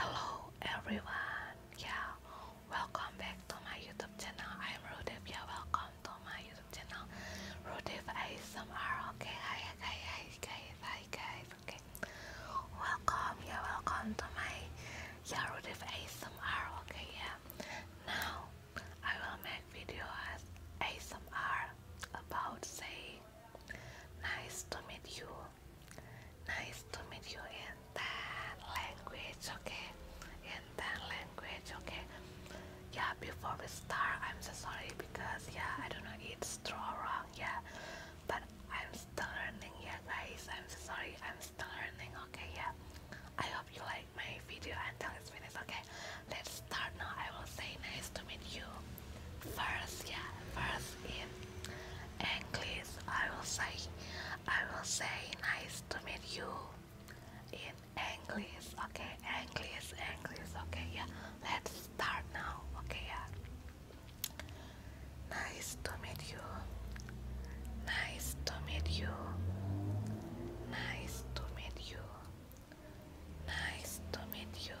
Hello everyone, yeah, welcome back to my YouTube channel. I'm Rudev, yeah, welcome to my YouTube channel. Rudev ASMR, okay, hi guys, hi guys, hi guys, okay. Welcome, yeah, welcome to my yeah, Rudev ASMR, okay, yeah. Now, I will make video as ASMR about saying, nice to meet you, Nice to meet you in that language, okay? In that language, okay? Yeah, before we start, I'm so sorry because, yeah, I don't know, it's straw wrong, yeah? But I'm still learning, yeah, guys. I'm so sorry, I'm still learning, okay? Yeah, I hope you like my video until it's finished, okay? Let's start now. I will say nice to meet you. First, yeah, first in English, I will say, I will say, nice to meet you in English, okay? English, English, okay, yeah. Let's start now, okay, yeah. Nice to meet you. Nice to meet you. Nice to meet you. Nice to meet you.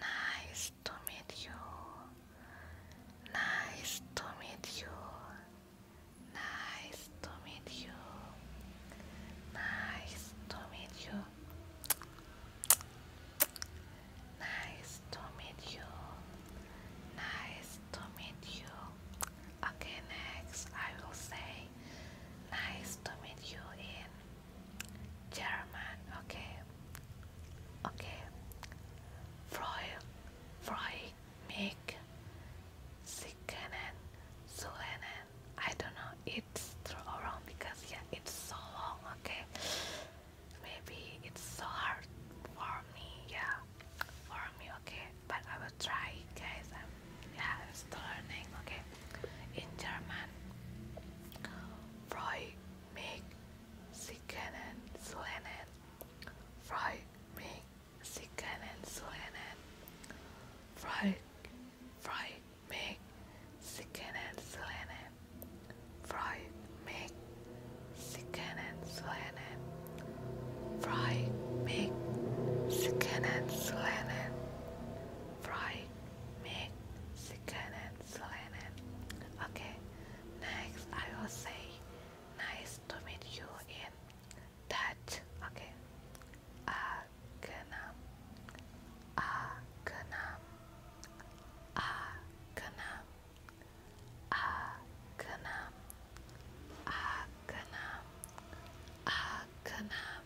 Nice to meet you. Nice to meet you. Nice to meet you. Nice to meet you. Nice to meet you. Nice to meet you. Okay, next I will say nice to meet you in German, okay, okay. Freud, Freud, make Sikanen, Sulanen. I don't know. It's wrong because yeah, it's so long. Okay, maybe it's so hard for me. Yeah, for me. Okay, but I will try, guys. I'm, yeah, I'm still learning. Okay. In German, Freu mich, Sie können zu lernen. Freu mich, Sie können zu lernen. Freu, freu mich, Sie können zu lernen. Freu mich, Sie können zu lernen. Freu mich, Sie können zu lernen. Freu Mexicanet, Solanet. Okay, next I will say nice to meet you in Dutch. Okay, Agenam, Agenam, Agenam, Agenam, Agenam, Agenam.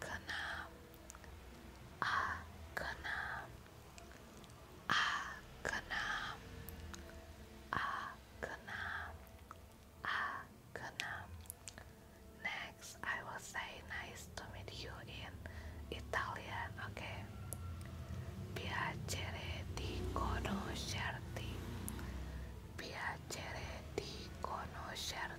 kenam, kenam, kenam, Akena kenam, Akena kenam. Next I will say nice to meet you in Italian okay Piacere di conoscerti Piacere di conoscerti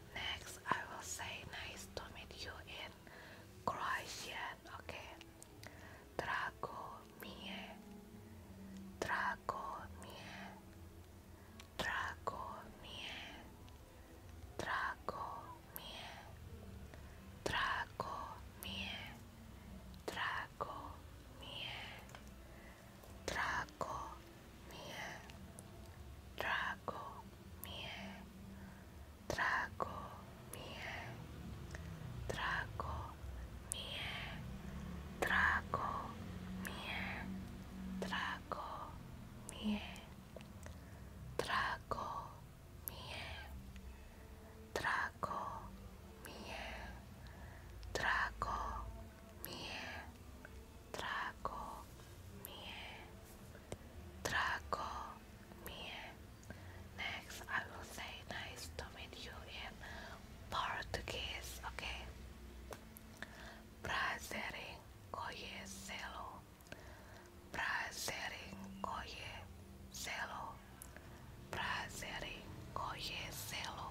Next, I will say nice to meet you in Croatian, okay? Drago mie, drago mie, drago mie, drago mie, drago mie, drago mie, drago mie drago mie drago mie drago mie drago mie drago mie drago mie drago mie drago mie trago me, trago me. Next, I will say nice to meet you in Portuguese, okay? Prazer em conhecê-lo, prazer em conhecê-lo, prazer em conhecê-lo.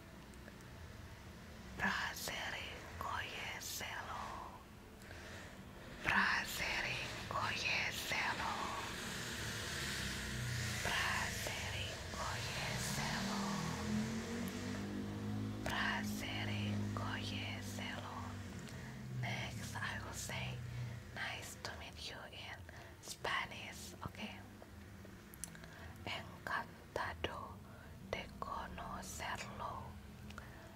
Brasserie Coyeselo Brasserie Coyeselo Brasserie Coyeselo Brasserie Coyeselo Next I will say nice to meet you in Spanish okay Encantado de conocerlo.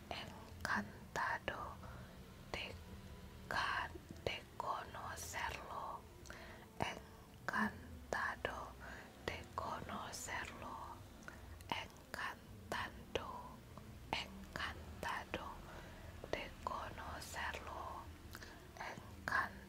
Encantado de, de conocerlo. Encantado de conocerlo. Encantado, encantado de conocerlo. Encantado.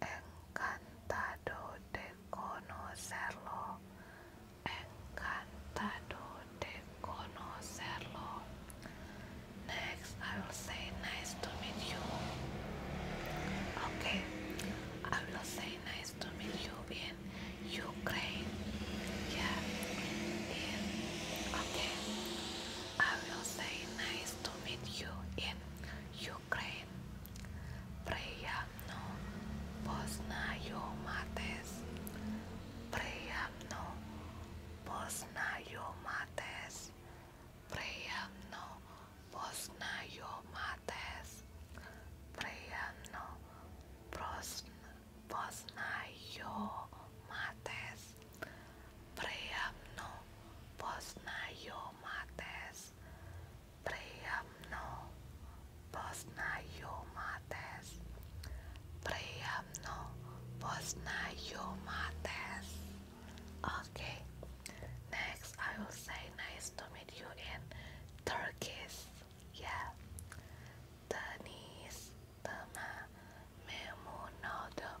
encantado de conocerlo, encantado de conocerlo. Next, I will say nice to meet you. Okay, I will say nice to meet you in Ukraine. Yeah, in, okay, I will say nice to meet you in Ukraine. Ukraine. Приємно познайомитись. Приємно познайомитись. Приємно познайомитись. Приємно познайомитись. Приємно познайомитись. Priyamno posnajo mates. Priyamno posnajo mates. Okay. Next, I will say nice to meet you in Turkish. Yeah. Deniz tema memnun oldum.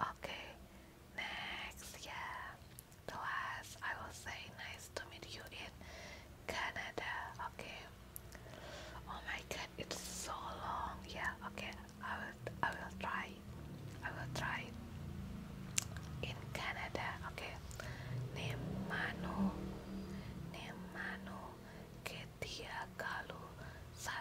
Okay, next, yeah. The last I will say nice to meet you in Canada. Okay. Oh my god, it's so long. Yeah, okay. I will I will try. I will try in Canada. Okay. Name Manu. Name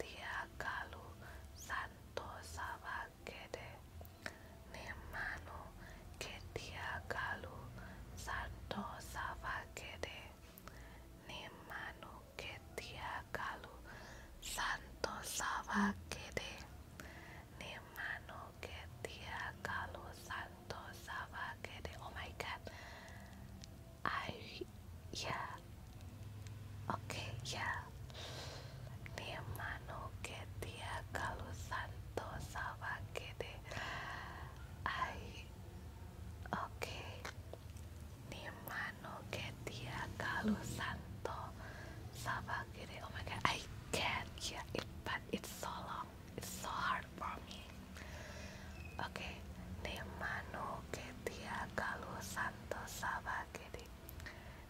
Tiagalu Santo Sabagede Nemano Ketiagalu Santo Sabagede Nemano Ketiagalu Santo Sabagede Nemano Ketiagalu Santo Sabagede Oh my god I yeah. Okay, yeah. Mi hermano quería causar toda de Ay, okay. Mi hermano quería causar toda de Oh my god, I can't. Yeah, it, but it's so long. It's so hard for me. Oke, nemano ketia kalau santo sabakede.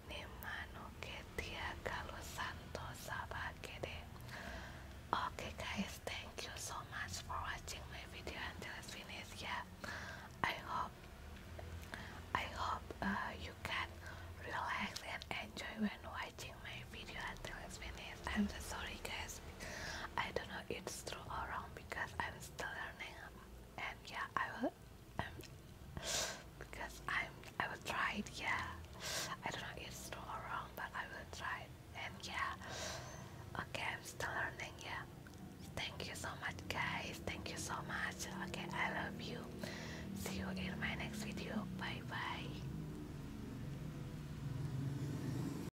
Nemano ketia kalau santo sabakede. Okay guys, thank you so much for watching my video until it's Yeah, I hope I hope uh, you can relax and enjoy when watching my video until it's I'm so sorry guys. I don't know it's true or wrong because I am still learning, and yeah, I will. Um, because I'm, I will try it. Yeah, I don't know if it's true or wrong, but I will try it. And yeah, okay, I'm still learning. Yeah, thank you so much, guys. Thank you so much. Okay, I love you. See you in my next video. Bye bye.